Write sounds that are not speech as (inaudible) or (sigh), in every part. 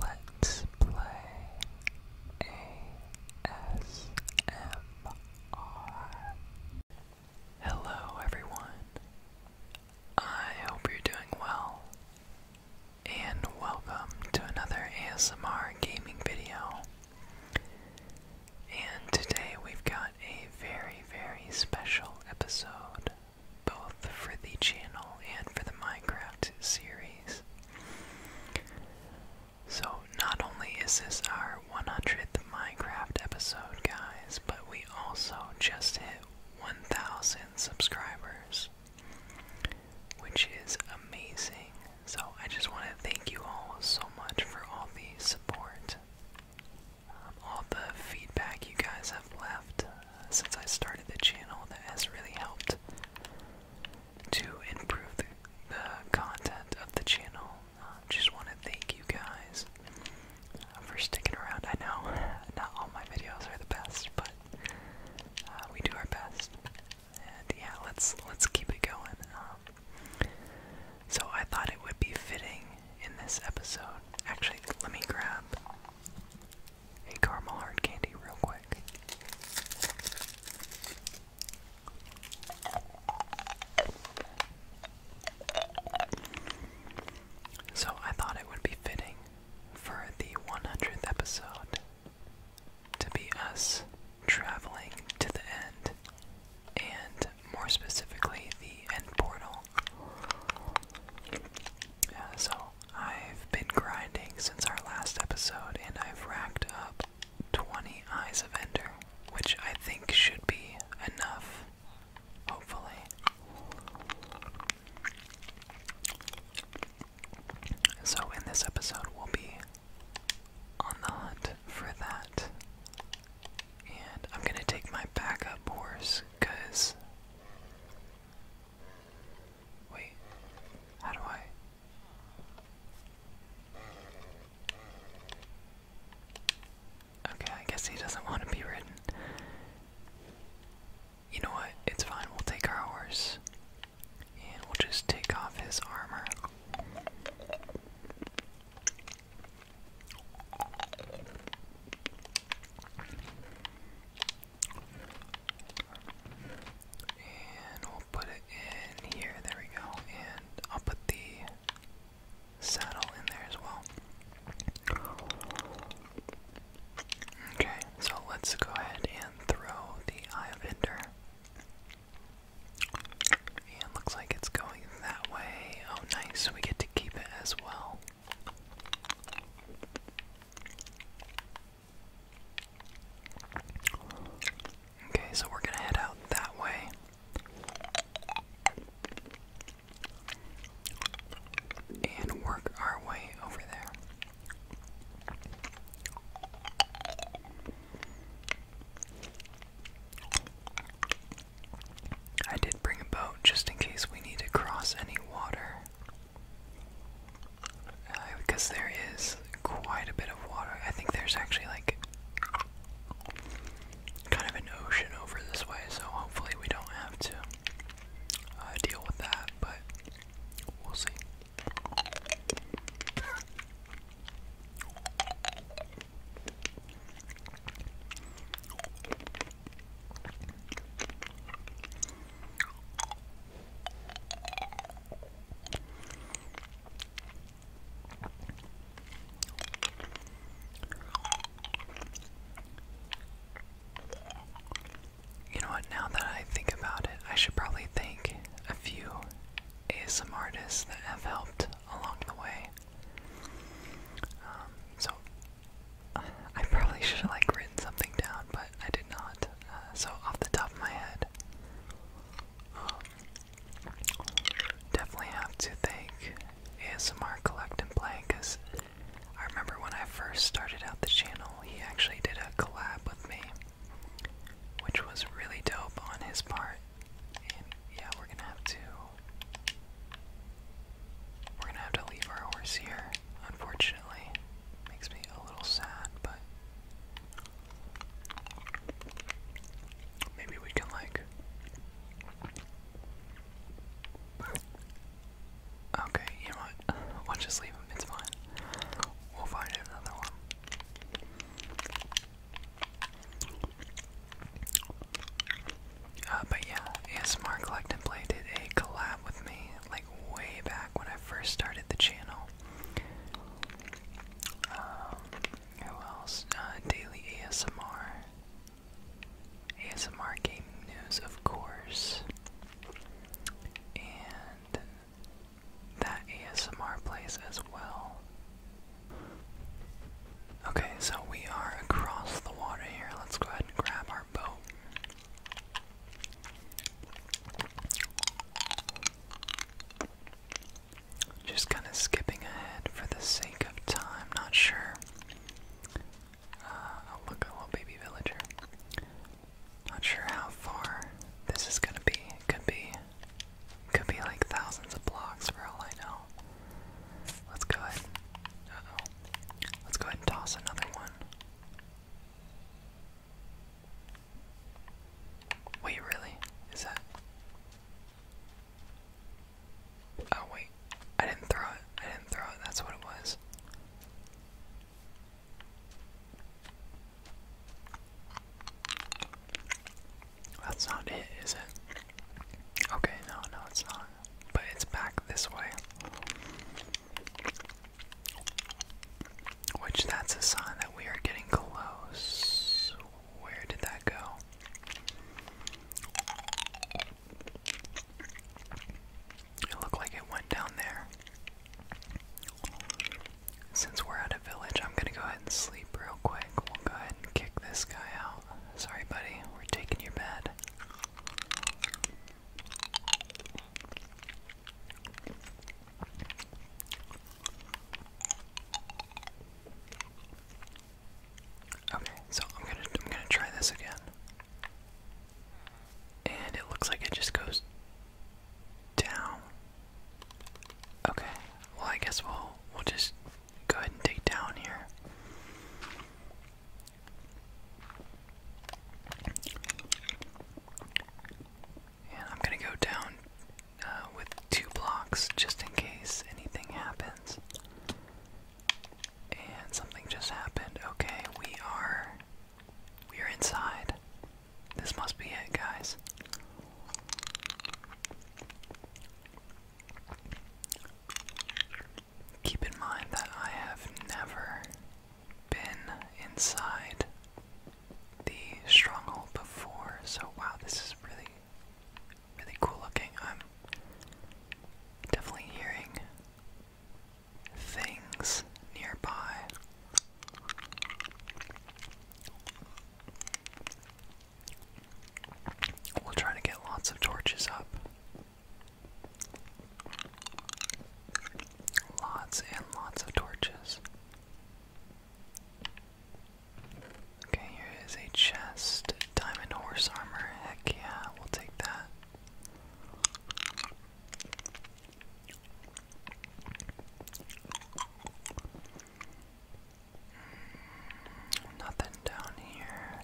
Let's play ASMR. Hello, everyone. I hope you're doing well, and welcome to another ASMR gaming video. And today we've got a very, very special episode both for the channel and for the Minecraft series. So, not only is this our 100th Minecraft episode, guys, but we also just hit 1,000 subscribers, which is amazing. So, I just want to thank you all so much for all the support, um, all the feedback you guys have left since I started the channel that has really helped to improve the, content of the channel. Uh, just want to thank you guys uh, for sticking around. I know (laughs) not all my videos are the best, but uh, we do our best. And yeah, let's let's keep it going. Um, so I thought it would be fitting in this episode. Actually, let me grab a caramel hard candy real quick. So I thought it would be fitting for the 100th episode to be us traveling to the end, and more specifically, the end portal so I've been grinding since our last episode, and I've racked up 20 Eyes of Ender, which I think should be enough, hopefully. So, in this episode, we'll be on the hunt for that. And I'm gonna take my backup horse, because Wait, how do I? Okay, I guess he doesn't want to be ridden. You know what? It's fine. We'll take our horse. And we'll just take off his armor. And we'll put it in here. There we go. And I'll put the saddle in there as well. Okay, so let's go ahead and throw the Eye of Ender. And looks like it's going that way. Oh, nice. We get to keep it as well. Okay, so we're gonna head out that way. And work our way over there. I did bring a boat just in case we need to cross any water. Uh, because there is quite a bit of water. I think there's actually like kind of an ocean over this way, so hopefully we don't have to uh, deal with that, but we'll see. You know what, now that I think about it, I should probably thank a few ASMR artists that have helped along the way. Um, so I probably should have like written something down, but I did not. Uh, so off the top of my head, um, definitely have to thank ASMR Collect and Play because I remember when I first started out the channel, he actually did a collab with me, which was really dope on his part. And yeah, we're gonna have to we're gonna have to leave our horse here, unfortunately. Makes me a little sad, but maybe we can like Okay, you know what? (laughs) We'll just leave him, it's fine. We'll find another one. Uh, but yeah, ASMR Collect and Play did a collab with me, like way back when I first started the channel. Um, who else? Uh, Daily ASMR. ASMR Gaming News, of course. And that ASMR place as well. Okay, so we are across the water here. Let's go ahead and grab our boat. Just kind of skipping ahead for the sake of time, not sure. Uh, look, a little baby villager. Not sure how far this is gonna be. It could be, could be like thousands of blocks for all I know. Let's go ahead. uh Let's go ahead and toss another one. Wait, really? Is that? Oh wait, I didn't throw it. I didn't throw it. That's what it was. That's not it, is it? Okay, no, no, it's not but it's back this way. Which that's a sign that we are getting close. Where did that go? It looked like it went down there. Since we're at a village, I'm gonna go ahead and sleep real quick. We'll go ahead and kick this guy out. Sorry, buddy, we're taking your bed. Okay, so I'm gonna I'm gonna try this again. And it looks like it just goes down. Okay. Well I guess we'll we'll just go ahead and take down here. I'm gonna go down uh, with two blocks just in case anything happens. And something just happened. Okay, we are. We are inside. This must be it, guys. Keep in mind that I have never been inside the stronghold before, so wow, this is really, really cool looking. I'm definitely hearing things nearby. We'll try to get lots of torches up. Lots and lots of torches. Okay, here is a chest. Diamond horse armor. Heck yeah, we'll take that. Hmm, nothing down here.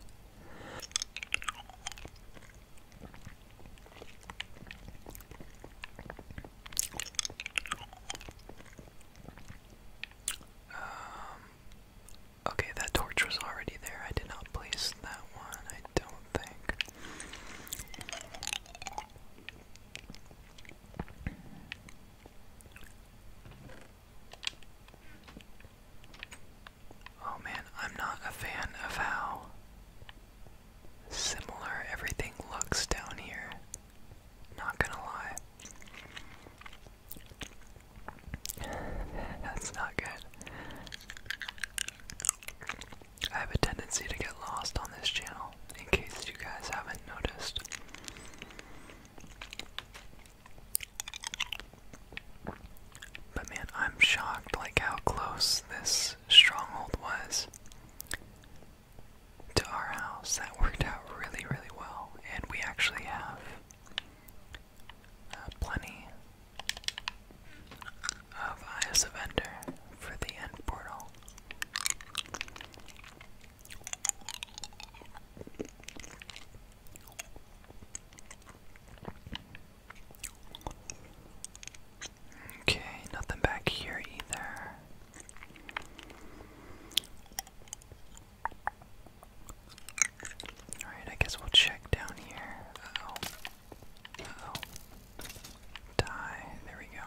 Um, okay, that torch was already there. I did not place that one, I don't think. Oh man, I'm not a fan of how similar everything looks down here. Not gonna lie. (laughs) That's not good. I have a tendency to get lost on this channel, in case you guys haven't noticed. But man, I'm shocked like how close this stronghold was to our house. That worked out really, really well. And we actually have uh, plenty of Eyes for the end portal. Okay, nothing back here either. Alright, I guess we'll check down here. oh. oh. Die. There we go.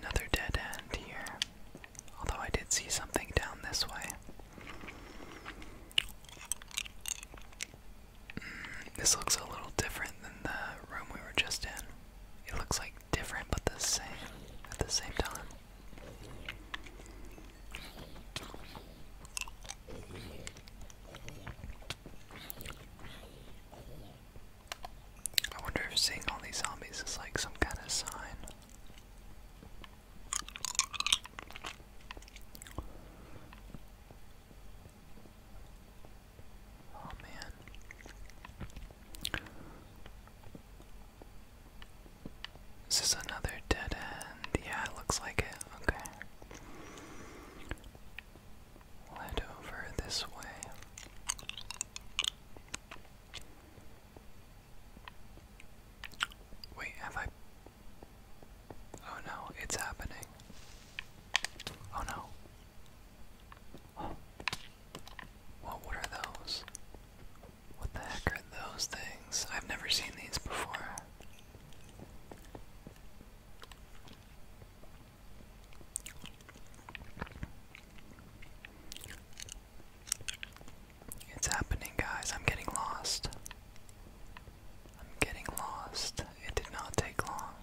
Another dead end here. Although I did see something down this way. Hmm, this looks a little different than the room we were just in. It looks like different but the same at the same time. I wonder if seeing all these zombies is like some kind of sign. Oh man. This Is another dead end? Yeah, it looks like it. Okay. Led over this way. Wait, have I. Oh no, it's happening. Oh no. (gasps) What, what those? What the heck are those things? I've never seen these before. It's happening, guys. I'm getting lost. I'm getting lost. It did not take long.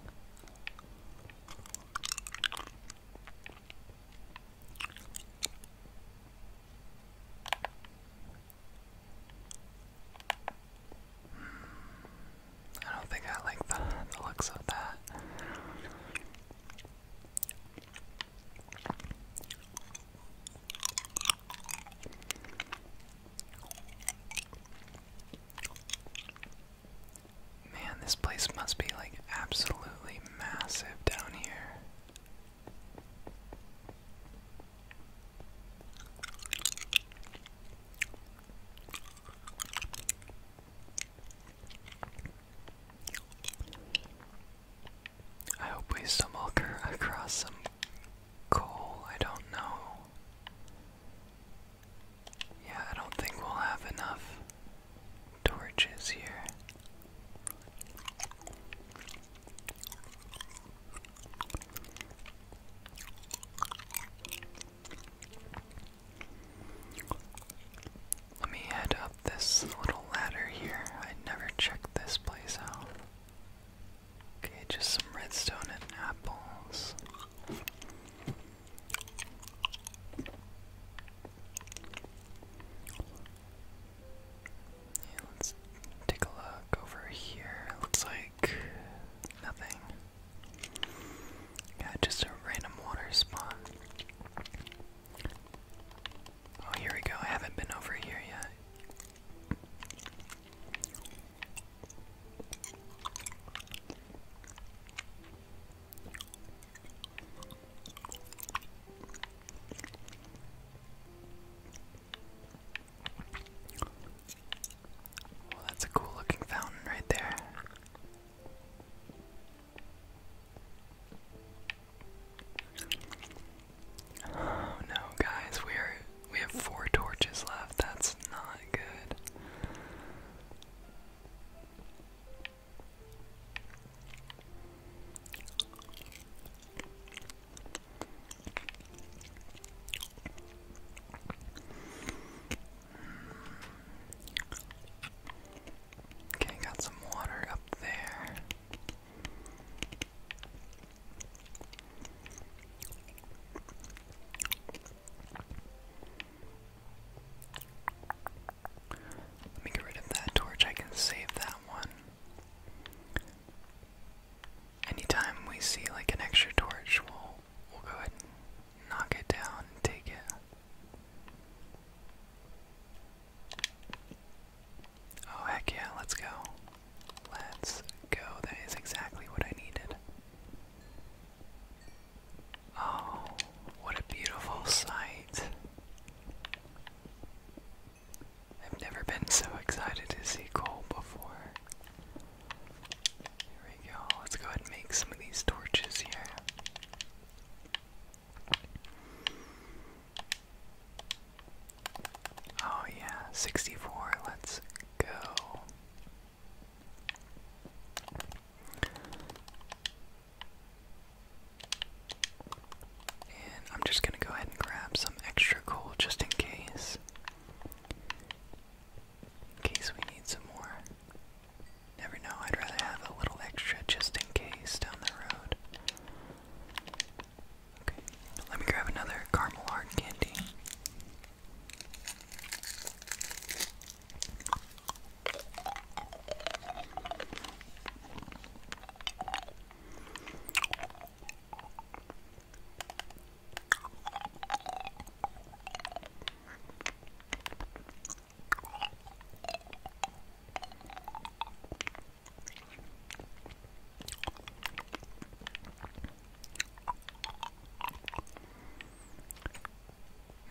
I don't think I like the, the looks of that. Man, this place must be like absolutely massive down here. I hope we stumble across some coal. I don't know. Yeah, I don't think we'll have enough torches here. Let me head up this little ladder here. I never checked this place out. Okay, just some redstone and apples let's take a look over here. Looks like nothing. Yeah, just a random water spot. Oh, here we go. I haven't been over here yet. Well, that's a cool looking fountain right there. Oh, no, guys, we are we have four torches left. That's not good. Okay, got some water up there. Let me get rid of that torch. I can save that one. Anytime we see like an extra torch, we'll we'll go ahead and knock it down and take it. Oh heck yeah, let's go. Let's go. That is exactly what I needed. Oh, what a beautiful sight. I've never been so excited to see coal before. Here we go. Let's go ahead and make some of these torches here. Oh, yeah, 64. Let's go. And I'm just gonna go ahead and grab some extra coal just in case. In case we need some more. Never know, I'd rather have a little extra just in case down the road. Okay, let me grab another caramel hard candy.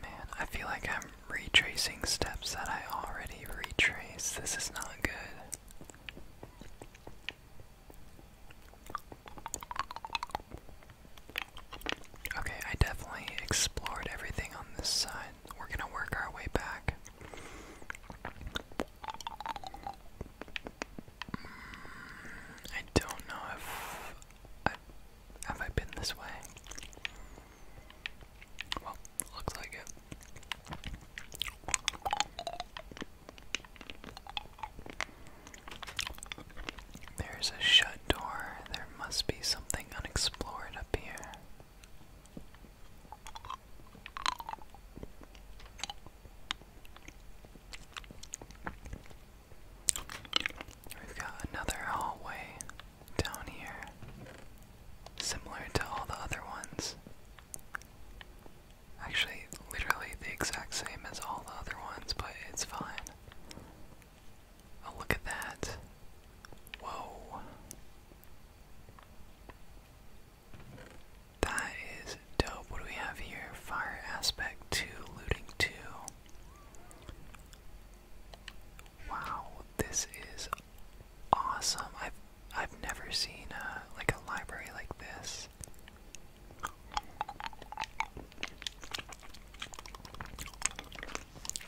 Man, I feel like I'm retracing steps that I already retraced. This is not good. Okay, I definitely explored everything on this side. We're gonna work our way back. Mm, I don't know if have I been this way. Well, there's a shut door. There must be something unexplored up here. We've got another hallway down here similar to all the other ones. Actually, literally the exact same as all the other ones, but it's fine. Oh, look at that. Whoa. That is dope. What do we have here? Fire aspect 2, looting 2. Wow, this is awesome. I've I've never seen uh, like a library like this.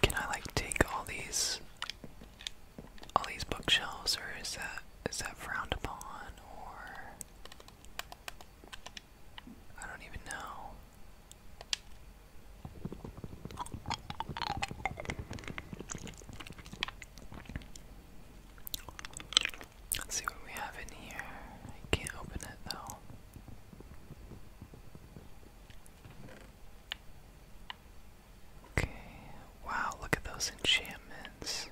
Can I like take all these all these bookshelves or is that is that frowned upon or I don't even know see what we have in here. can't open it though. Okay, wow, look at those enchantments.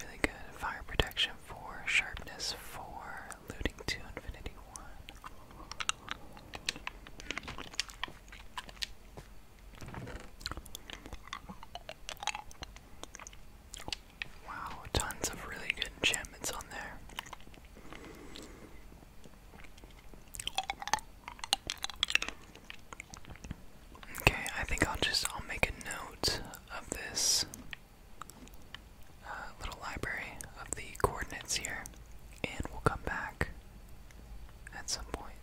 Really good. Fire protection for sharpness for looting to infinity 1. Wow, tons of really good enchantments on there. Okay, I think I'll just I'll make a note of this uh, little library of the coordinates here, and we'll come back at some point.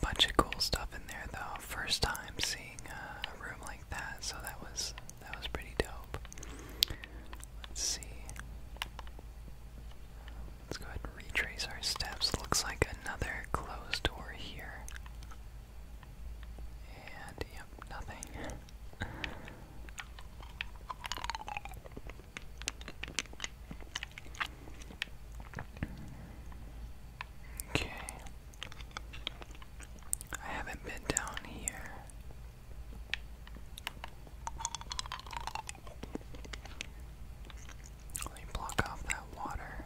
Bunch of cool stuff in there though. First time seeing a room like that, so that was that was pretty dope. Let's see. Let's go ahead and retrace our steps. Looks like another closed door here. And yep, nothing. okay. I haven't been down here. Let me block off that water.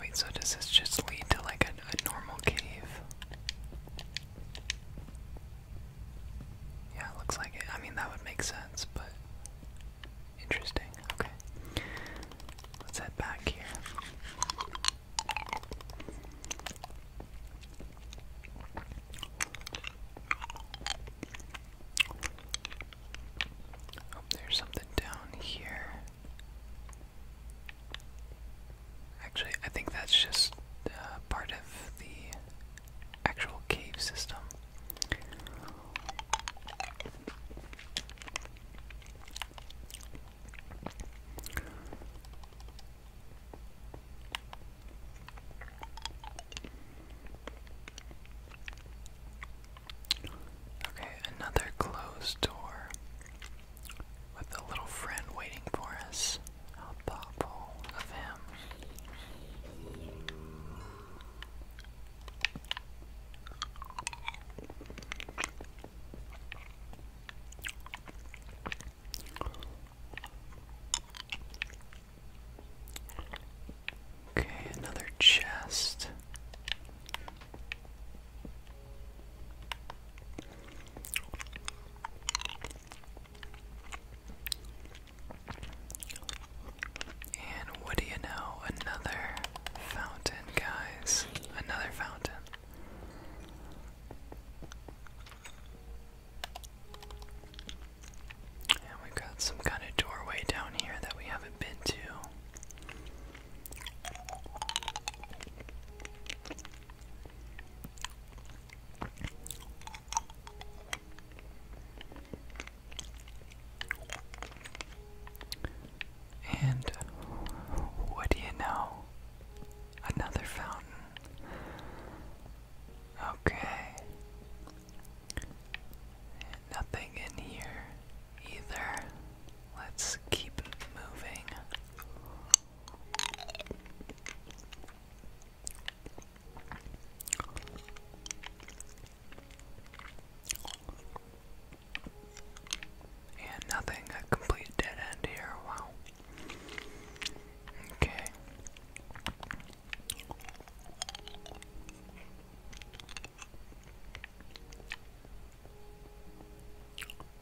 Wait, so does this just lead to like a, normal cave? Yeah, looks like it. I mean, that would make sense, but Interesting. Okay. Let's head back here. Oh, there's something down here. Actually, I think that's just uh, part of the actual cave system. Okay, another closed door with a little friend waiting for us. How thoughtful of him. Okay, another chest. And what do you know? Another fountain, guys. Another fountain. And we've got some kind of doorway down here that we haven't been to. And what do you know? Another fountain. Okay. Nothing in here either. Let's keep moving. And nothing, a complete dead end here, wow. Okay.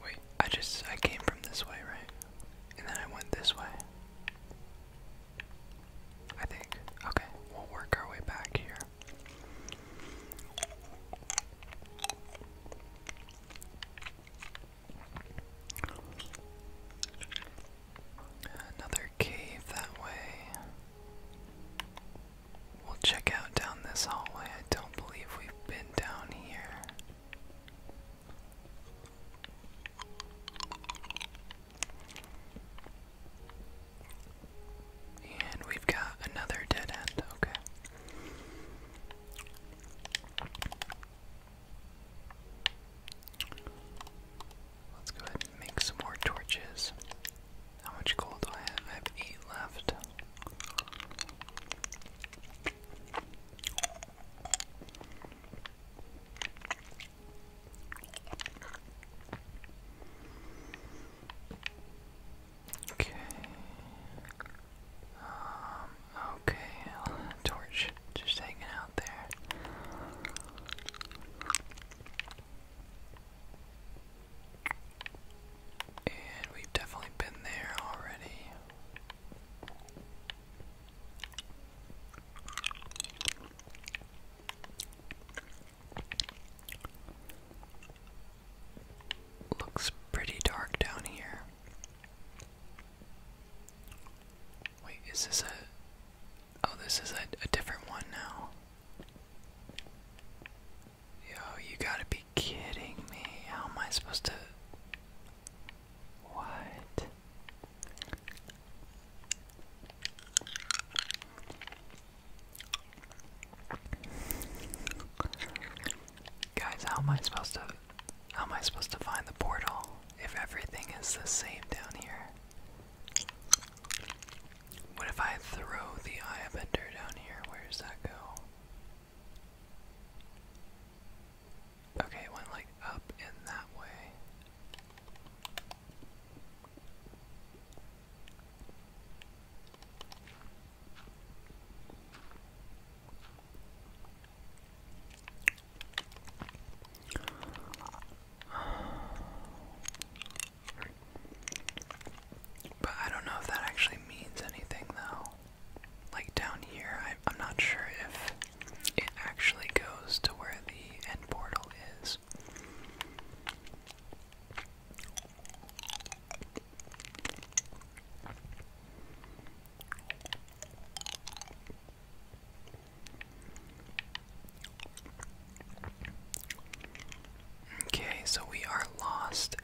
Wait, I just, I came from this way, right? And then I went this way. I think. Okay, we'll work our way back here. Another cave that way. We'll check out down this hallway. I don't believe we've been down here. And we've got another dead end, okay. Let's go ahead and make some more torches. How much gold do I have? I have eight left. Okay. Um, okay, torch just hanging out there. And we've definitely been there already. Looks pretty dark down here. Wait, is this a. Oh, this is a, different one now. Yo, you gotta be kidding me. How am I supposed to. What? Guys, how am I supposed to how am I supposed to find the portal if everything is the same down here? What if I throw the eye bender down here? Where does that go? Okay, it went like up and that way. But I don't know if that actually means anything though. Like down here, I, I'm not sure if it actually goes to where the end portal is. Okay, so we are lost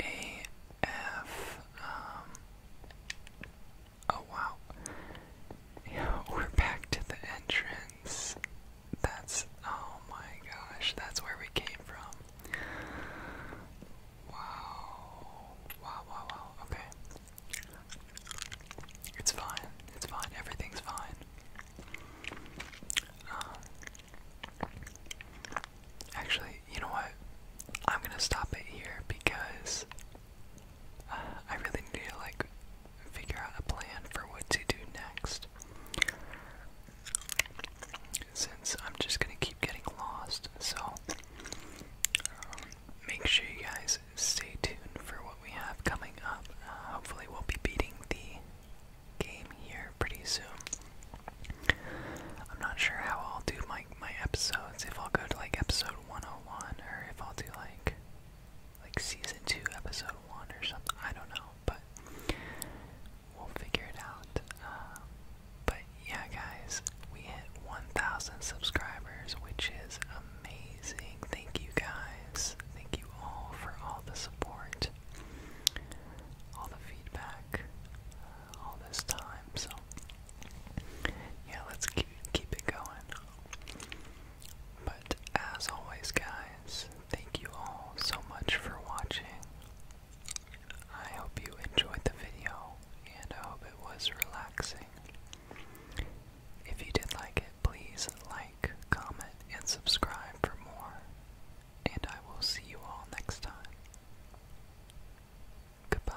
AF. Um, oh wow. (laughs) we're back to the entrance. That's oh my gosh, that's where we came from. Wow. Wow, wow, wow. Okay. It's fine. It's fine. Everything's fine. Uh, actually, you know what? I'm gonna stop it here because uh, I really need to like figure out a plan for what to do next. Since I'm just gonna keep getting lost, so um, make sure you guys stay tuned for what we have coming up. Uh, hopefully, we'll be beating the game here pretty soon. I'm not sure how I'll do my my episodes. If I'll go to like episode 101, or if I'll do like like season two, episode one, or something. I don't know, but we'll figure it out. Um, but yeah, guys, we hit 1,000 subscribers, which is amazing. Thank you guys. Thank you all for all the support, all the feedback, uh, all this time. So yeah, let's keep keep it going as always, guys, thank you all so much for watching. I hope you enjoyed the video, and I hope it was relaxing. If you did like it, please like, comment, and subscribe for more. And I will see you all next time. Goodbye.